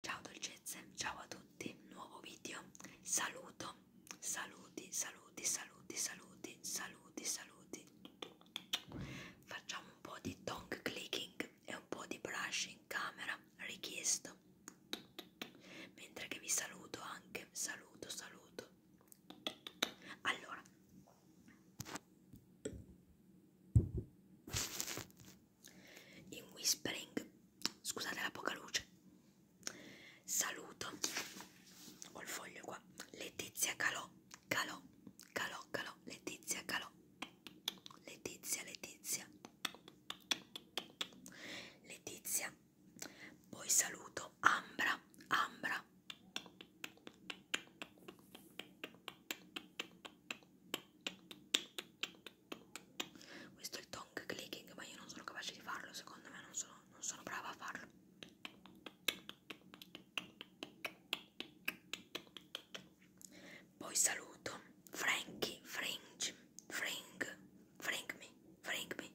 Ciao dolcezze, ciao a tutti, nuovo video, saluto, saluti, saluti, saluti, saluti, saluti, saluti. Facciamo un po' di tongue clicking e un po' di brush in camera richiesto. Mentre che vi saluto anche, saluto, saluto. Allora in whispering scusate la poca luce saluto ho il foglio qua Letizia Calò Calò Calò Calò Letizia Calò Letizia Letizia Letizia poi saluto Ambra Ambra questo è il tongue clicking, ma io non sono capace di farlo, secondo me non sono, non sono brava a farlo. Poi saluto Frankie, Fringe, Fring, Fringmi, Fringmi,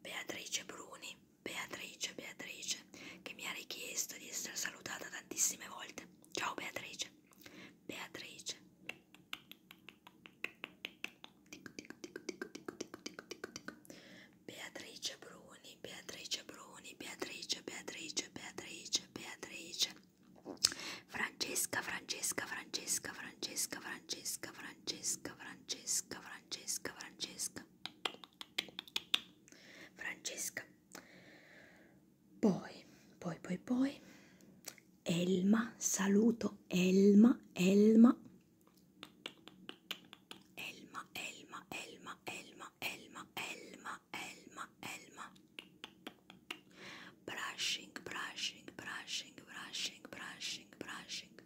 Beatrice Bruni, Beatrice, Beatrice, che mi ha richiesto di essere salutata tantissime volte. Ciao Beatrice. Beatrice. Dico, dico, dico, dico, dico, dico, dico, dico, dico. Beatrice Bruni, Beatrice Bruni, Beatrice, Beatrice, Beatrice, Beatrice. Francesca, Francesca, Francesca, Francesca, Francesca, Francesca, Francesca, Francesca, Francesca. Francesca. Poi, poi, poi, poi, Elma, saluto Elma, Elma, Elma, Elma, Elma, Elma, Elma, Elma, Elma, Elma, brushing, brushing, brushing, brushing, brushing, brushing.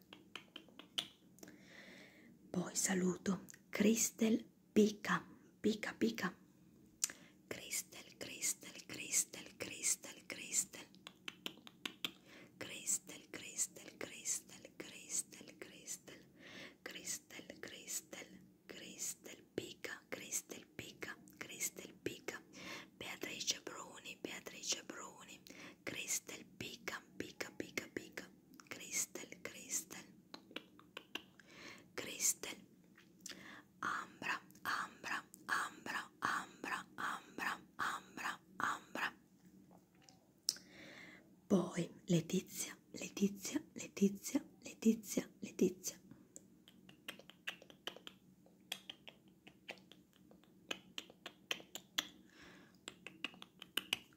Poi saluto Crystal Pica, pica, pica. Crystal, crystal, crystal, crystal, crystal. Crystal, crystal, crystal, crystal, crystal. Crystal, crystal, crystal, pica, crystal, pica, crystal, pica. Beatrice Bruni, Beatrice Bruni. Crystal, pica, pica, pica, pica. Crystal, Crystal, Crystal, Ambra, Ambra, Ambra, Ambra, Ambra, Ambra, Ambra. Poi Letizia, Letizia, Letizia, Letizia, Letizia.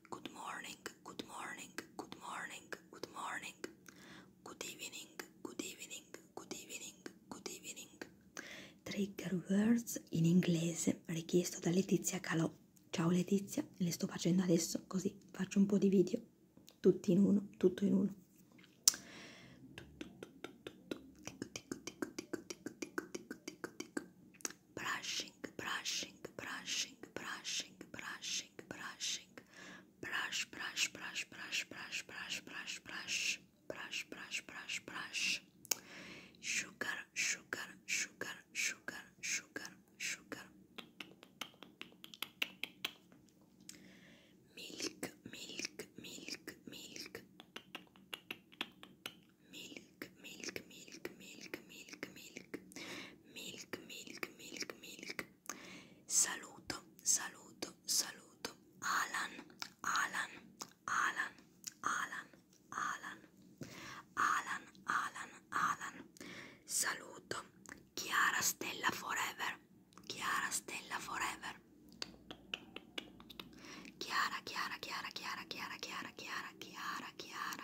Good morning, good morning, good morning, good morning. Good evening, good evening, good evening, good evening. Trigger words in inglese richiesto da Letizia Calò. Ciao Letizia, le sto facendo adesso così faccio un po' di video, tutti in uno, tutto in uno. brushing, brushing, brushing, brushing, brushing, brushing, brush, brush, brush, brush, brush, brush, brush, brush, brush, brush, brush, brush, sugar, sugar, sugar, sugar, sugar, sugar, milk, milk, milk, milk. milk, milk, milk, milk, milk, milk, milk, milk, milk, milk. Saluto, saluto, saluto. Alan, Alan, Alan, Alan, Alan, Alan, Alan, Alan. Saluto. Chiara Stella Forever. Chiara Stella Forever. Chiara, Chiara, Chiara, Chiara, Chiara, Chiara, Chiara, Chiara, Chiara,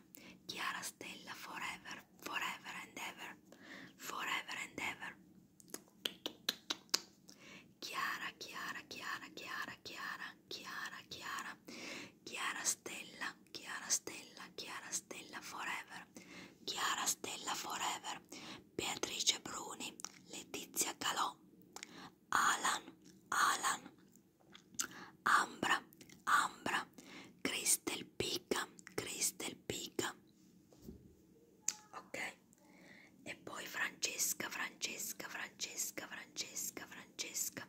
Forever, Chiara Stella Forever, Forever and Ever, Forever and Ever. Chiara, Chiara, Chiara, Chiara, Chiara, Chiara, Chiara, Chiara Stella, Chiara Stella, Chiara Stella Forever, Chiara Stella Forever, Beatrice Bruni, Letizia Calò, Alan, Alan, Ambra, Ambra, Crystal Pica, Crystal Pica. Ok. E poi Francesca, Francesca, Francesca, Francesca, Francesca.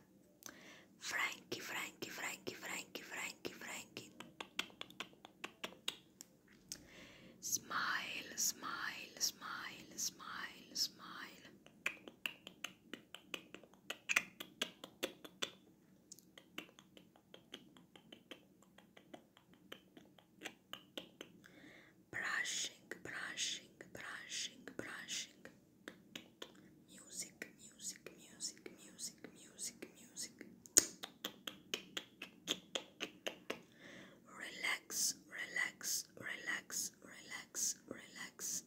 Frankie, Frankie, Frankie, Frankie, Frankie, Frankie. Smile, smile, smile, smile, smile. Brushing, brushing, brushing, brushing. Music, music, music, music, music, music. Relax, relax, relax, relax, relax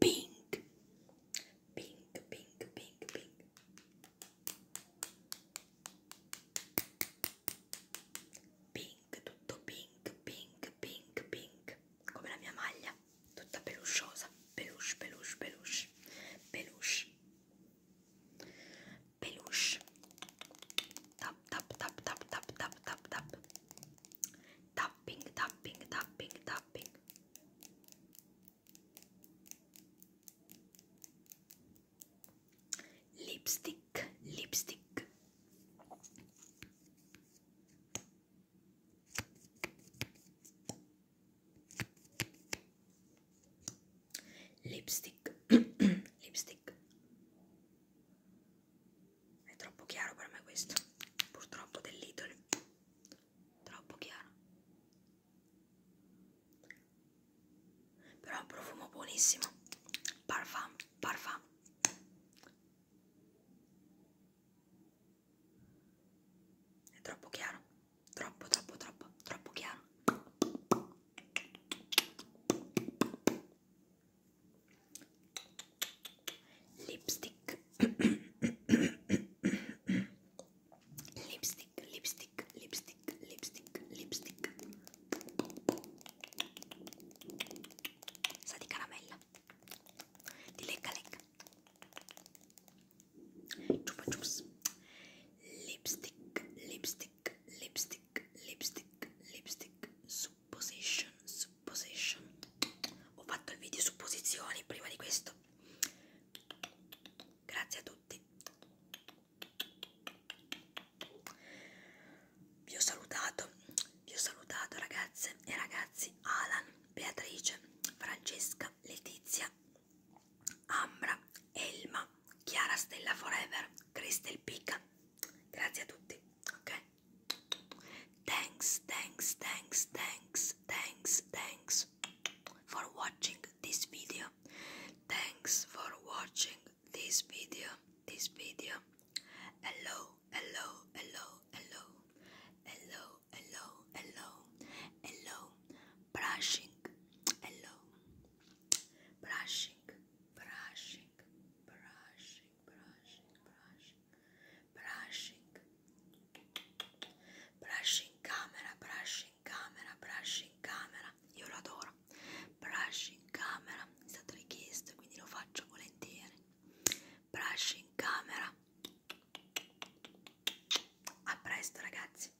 pink pink pink pink pink pink tutto pink pink pink pink come la mia maglia tutta pelusciosa peluche peluche peluche peluche peluche tap tap tap tap tap tap tap tap tapping, tapping, tapping, tapping. Lipstick, lipstick. Lipstick, lipstick. È troppo chiaro per me questo. Purtroppo dell'idol. Troppo chiaro. Però ha un profumo buonissimo. Parfum, parfum. È troppo chiaro. Troppo, troppo, troppo, troppo chiaro lipstick lipstick lipstick lipstick lipstick lipstick sa di caramella di lecca lecca chupa chups lipstick lipstick lipstick lipstick lipstick su supposition, supposition. Ho fatto il video supposizioni prima di questo. Grazie a tutti. Vi ho salutato, vi ho salutato ragazze e ragazzi Alan, Beatrice, Francesca, Letizia, Ambra, Elma, Chiara Stella Forever, Cristel Pica. Thanks, thanks, thanks, thanks, thanks, thanks for watching this video. Thanks for watching this video, this video. Hello, hello, hello, hello, hello, hello, hello, hello, brushing, hello, brushing, brushing. brushing, brushing, brushing, brushing, brushing camera, brushing camera, brushing camera. Io lo adoro. Brushing camera, è stato richiesto, quindi lo faccio volentieri. Brushing camera. A presto ragazzi.